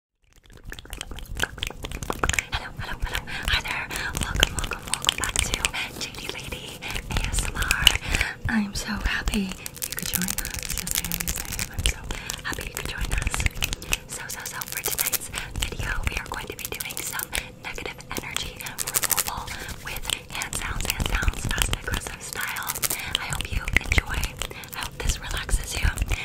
Hello, hello, hello. Hi there. Welcome, welcome, welcome back to JD Lady ASMR. I'm so happy you could join us. Yes, I am. Yes, I am. I'm so happy you could join us. So, so, so, for tonight's video, we are going to be doing some negative energy removal with hand sounds, hand sounds, fast and aggressive style. I hope you enjoy. I hope this relaxes you.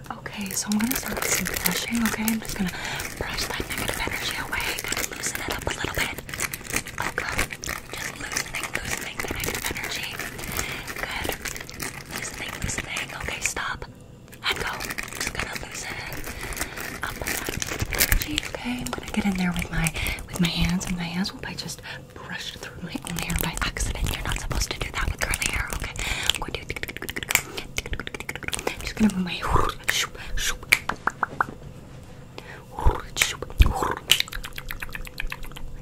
Okay, so I'm gonna start with some brushing, okay? I'm just gonna brush that negative energy away, gonna loosen it up a little bit. Okay, um, just loosening, loosening the negative energy. Good. Loosening, loosening. Okay, stop. And go. Just gonna loosen up that energy, okay? I'm gonna get in there with my with my hands, and my hands will I just brushed through my own hair by accident. You're not supposed to do that with curly hair, okay? I'm going do. I'm just gonna move my I'm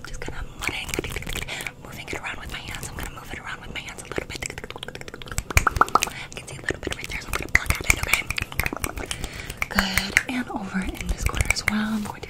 just gonna moving it around with my hands. I'm gonna move it around with my hands a little bit. I can see a little bit right there, so I'm gonna pluck at it, okay? Good. And over in this corner as well. I'm going to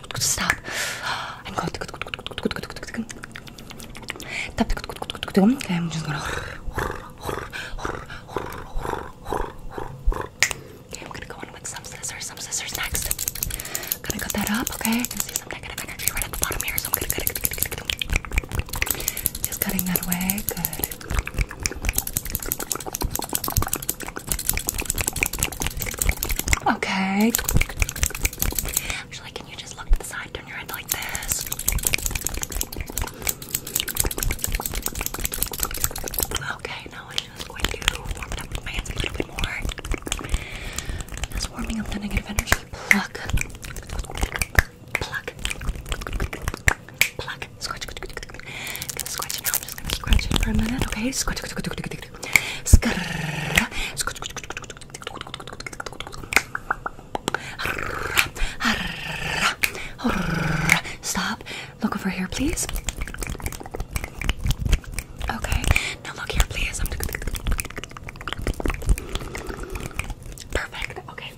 stop. I'm going to Okay, I'm just gonna Okay, we're gonna go in with some scissors, some scissors next. Gonna cut that up, okay? I can see some negative energy right at the bottom here, so I'm gonna cut it. Just cutting that away, good. Okay. Actually, can you just look to the side, turn your head like this? Okay, now I'm just going to warm up my hands a little bit more. Just warming up the negative energy. Pluck. Pluck. Pluck. Scratch. I'm gonna scratch it now. I'm just gonna scratch it for a minute, okay? Scratch. Stop. Look over here, please. Okay. Now look here, please. I'm Perfect. Okay.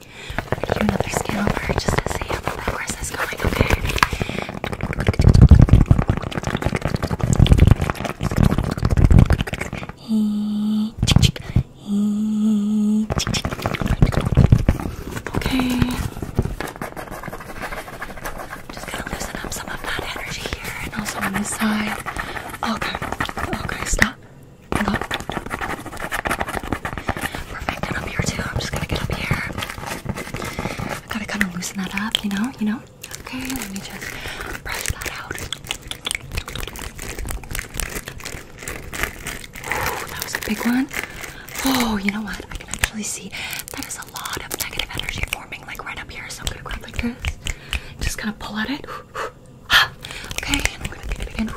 We're gonna do another scan over just to see how the progress is going, okay? Okay. Just gonna loosen up some of that energy here and also on this side. Okay. Okay, stop. Go. Perfect, and up here too. I'm just gonna get up here. gotta kind of loosen that up, you know, you know? Okay, let me just brush that out. that was a big one. Oh, you know what? I can actually see that is a lot of negative energy forming like right up here. So I'm gonna grab like this. Just gonna pull at it. Okay, I'm gonna get it again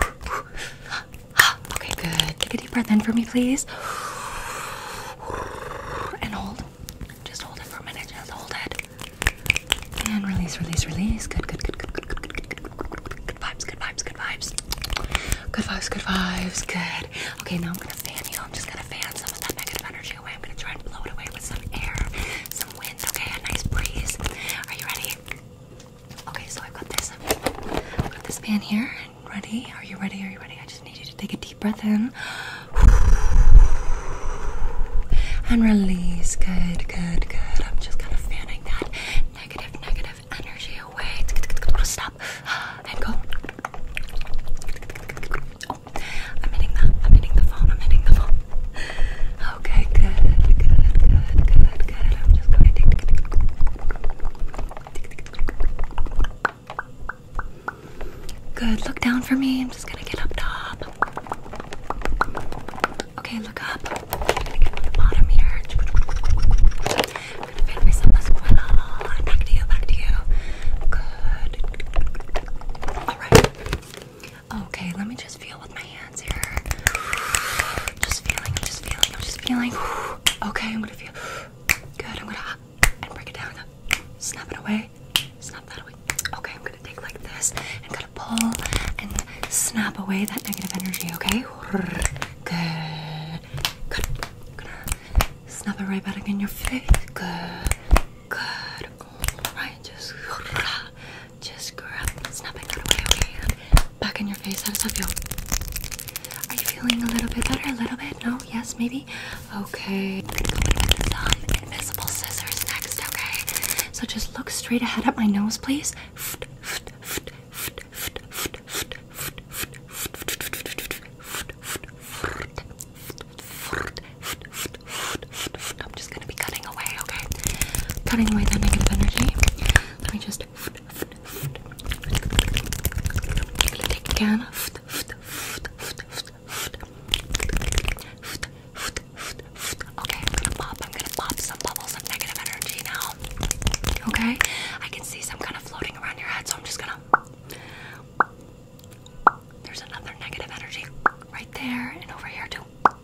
okay, good. Take a deep breath in for me, please. And hold. Just hold it for a minute. Just hold it. And release, release, release. Good, good, good, good, good, good, good, good, good, good vibes, good vibes, good vibes. Good vibes, good vibes, good. Okay, now I'm gonna fan you. I'm just gonna fan some of that negative energy away. I'm gonna try and blow it away with some air, some wind, okay? A nice breeze. Are you ready? Okay, so I've got this. i got this fan here. Ready? Are you ready? Are you ready? I just need you to take a deep breath in. And release. Good, good, good. I'm just kind of fanning that negative, negative energy away. Stop. And go. Oh, I'm hitting the, I'm hitting the phone. I'm hitting the phone. Okay, good, good, good, good, good. I'm just going to. Good, look down for me. I'm just gonna get up top. Okay, look up. I'm gonna get on the bottom here. I'm gonna bend myself as well. Back to you, back to you. Good. Alright. Okay, let me just just feeling, I'm just feeling, I'm just feeling. Okay, I'm gonna feel good. I'm gonna and break it down. Snap it away. Snap that away. Okay, I'm gonna take like this and gonna pull and snap away that negative energy, okay? Good. Good. I'm gonna snap it right back in your face. Good. Good. Alright, just just grab, snapping that away, okay? Back in your face, how does that feel? Are you feeling a little bit better? A little bit? No? Yes? Maybe? Okay. invisible scissors next, okay? So just look straight ahead at my nose, please. I'm just gonna be cutting away, okay? Cutting away that negative energy. Let me just take it again. Okay, I'm gonna pop. I'm gonna pop some bubbles of negative energy now. Okay, I can see some kind of floating around your head, so I'm just gonna. There's another negative energy right there and over here too.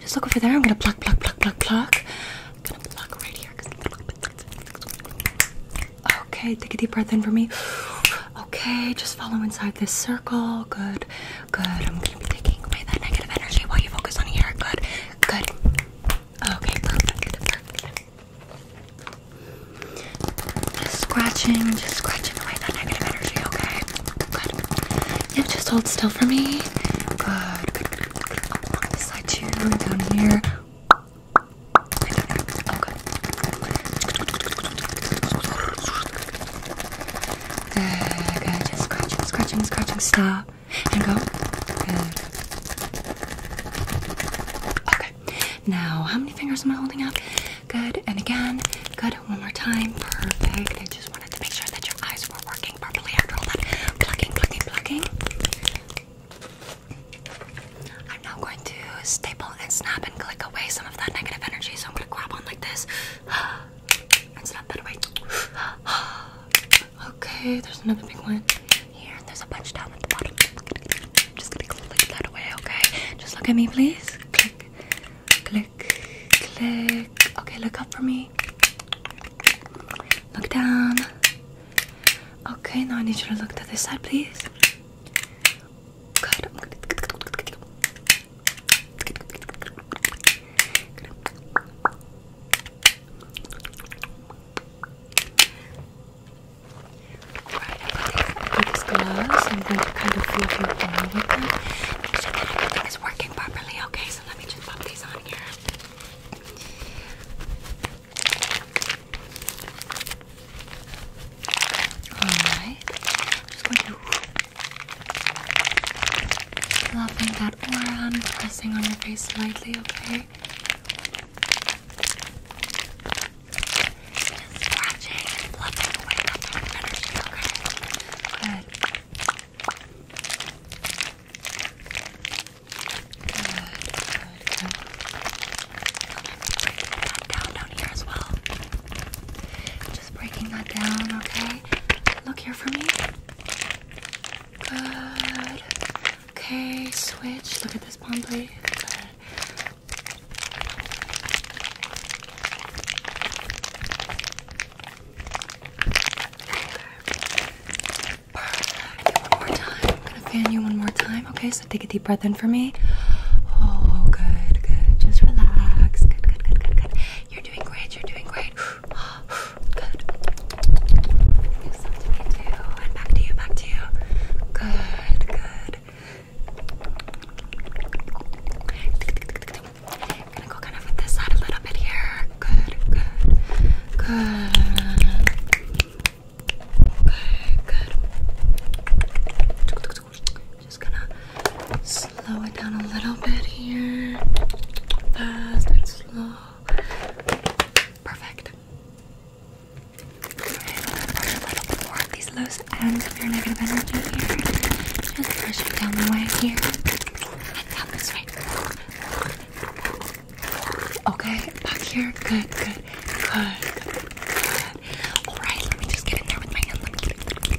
Just look over there. I'm gonna block, block, block, block, block. I'm gonna pluck right here. Okay, take a deep breath in for me. Okay, just follow inside this circle. Good, good. I'm gonna be taking away that negative energy while you focus on here. Good, good. Okay, perfect. Just scratching, just scratching away that negative energy, okay? Good. Yeah, just hold still for me. Good, good, good, down here. Oh, good. Just scratching, scratching, scratching. Stop. And go. Good. Okay. Now, how many fingers am I holding up? Good. And again, good. One more time. Perfect. I just wanted to make sure that your eyes were working properly after all that plucking, plucking, plucking. I'm now going to staple and snap and click away some of that negative energy. So I'm going to grab on like this and snap that away. Okay, there's another big one here. There's a bunch down at the bottom. I'm just gonna click that away, okay? Just look at me, please. Click, click, click. Okay, look up for me. Look down. Okay, now I need you to look to this side, please. Right, I'm these gloves. I'm going to kind of feel your body with them. Make sure that everything is working properly, okay? So let me just pop these on here. Alright. I'm just going to loving that aura i pressing on your face slightly, okay? Just scratching and fluffing away that dark energy, okay? Good. Good, good, good. that down down here as well. Just breaking that down, okay? Look here for me. Good. Okay, switch. Look at this palm, please. Good one more time. I'm gonna fan you one more time. Okay, so take a deep breath in for me. Oh, good, good. Just relax. Good, good, good, good, good. You're doing great. You're doing great. Good. back to you. Back to you. Good. Good, good. gonna go kind of with this side a little bit here. Good, good, good. good. Just gonna slow it down a little bit here. Fast and slow. Perfect. Okay, these loose ends of your negative energy Just brush it down the way here. And Okay, back here. Good, good, good, good, good. Alright, let me just get in there with my hand. Let me get in there.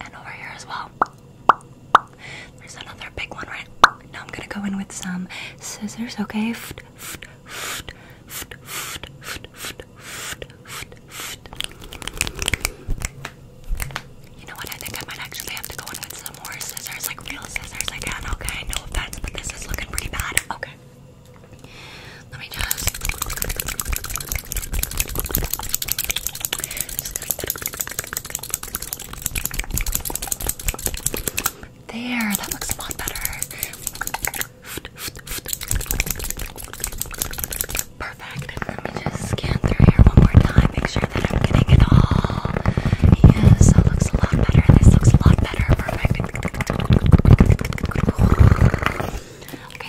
And over here as well. There's another big one, right? Now I'm gonna go in with some scissors, okay? You know what? I think I might actually have to go in with some more scissors, like real scissors again, okay? No offense, but this is looking pretty bad. Okay. Let me just. There, that looks a lot better. Perfect. Let me just scan through here one more time, make sure that I'm getting it all. Yes, that looks a lot better. This looks a lot better. Perfect. Okay, I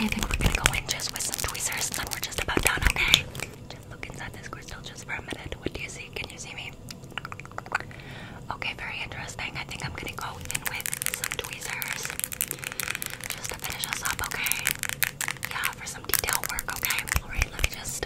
think we're gonna go in just with some tweezers, and then we're just about done. Okay, just look inside this crystal just for a minute. What do you see? Can you see me? Okay, very interesting. I think I'm gonna go in with some tweezers just to finish us up. Okay, yeah, for some detail work. Okay, all right. Let me just.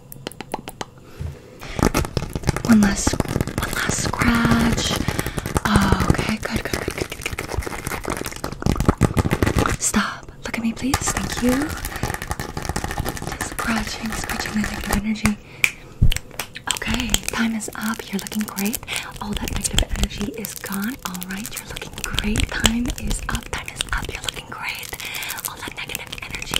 One last, one last scratch. Oh, okay, good, good, good, good, good, good. Stop. Look at me, please. Thank you. Scratching, scratching the negative energy. Okay, time is up. You're looking great. All that negative energy is gone. All right, you're looking great. Time is up. Time is up. You're looking great. All that negative energy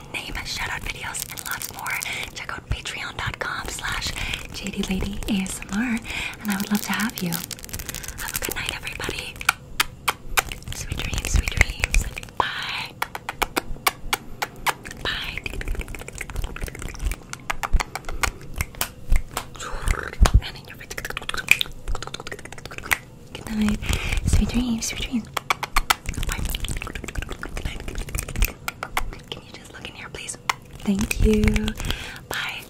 name, shout-out videos, and lots more. Check out patreon.com slash jd lady asmr, and I would love to have you. Have a good night, everybody. Sweet dreams, sweet dreams. Bye. Bye. Good night. Sweet dreams, sweet dreams. Can you just look in here, please? Thank you. Bye.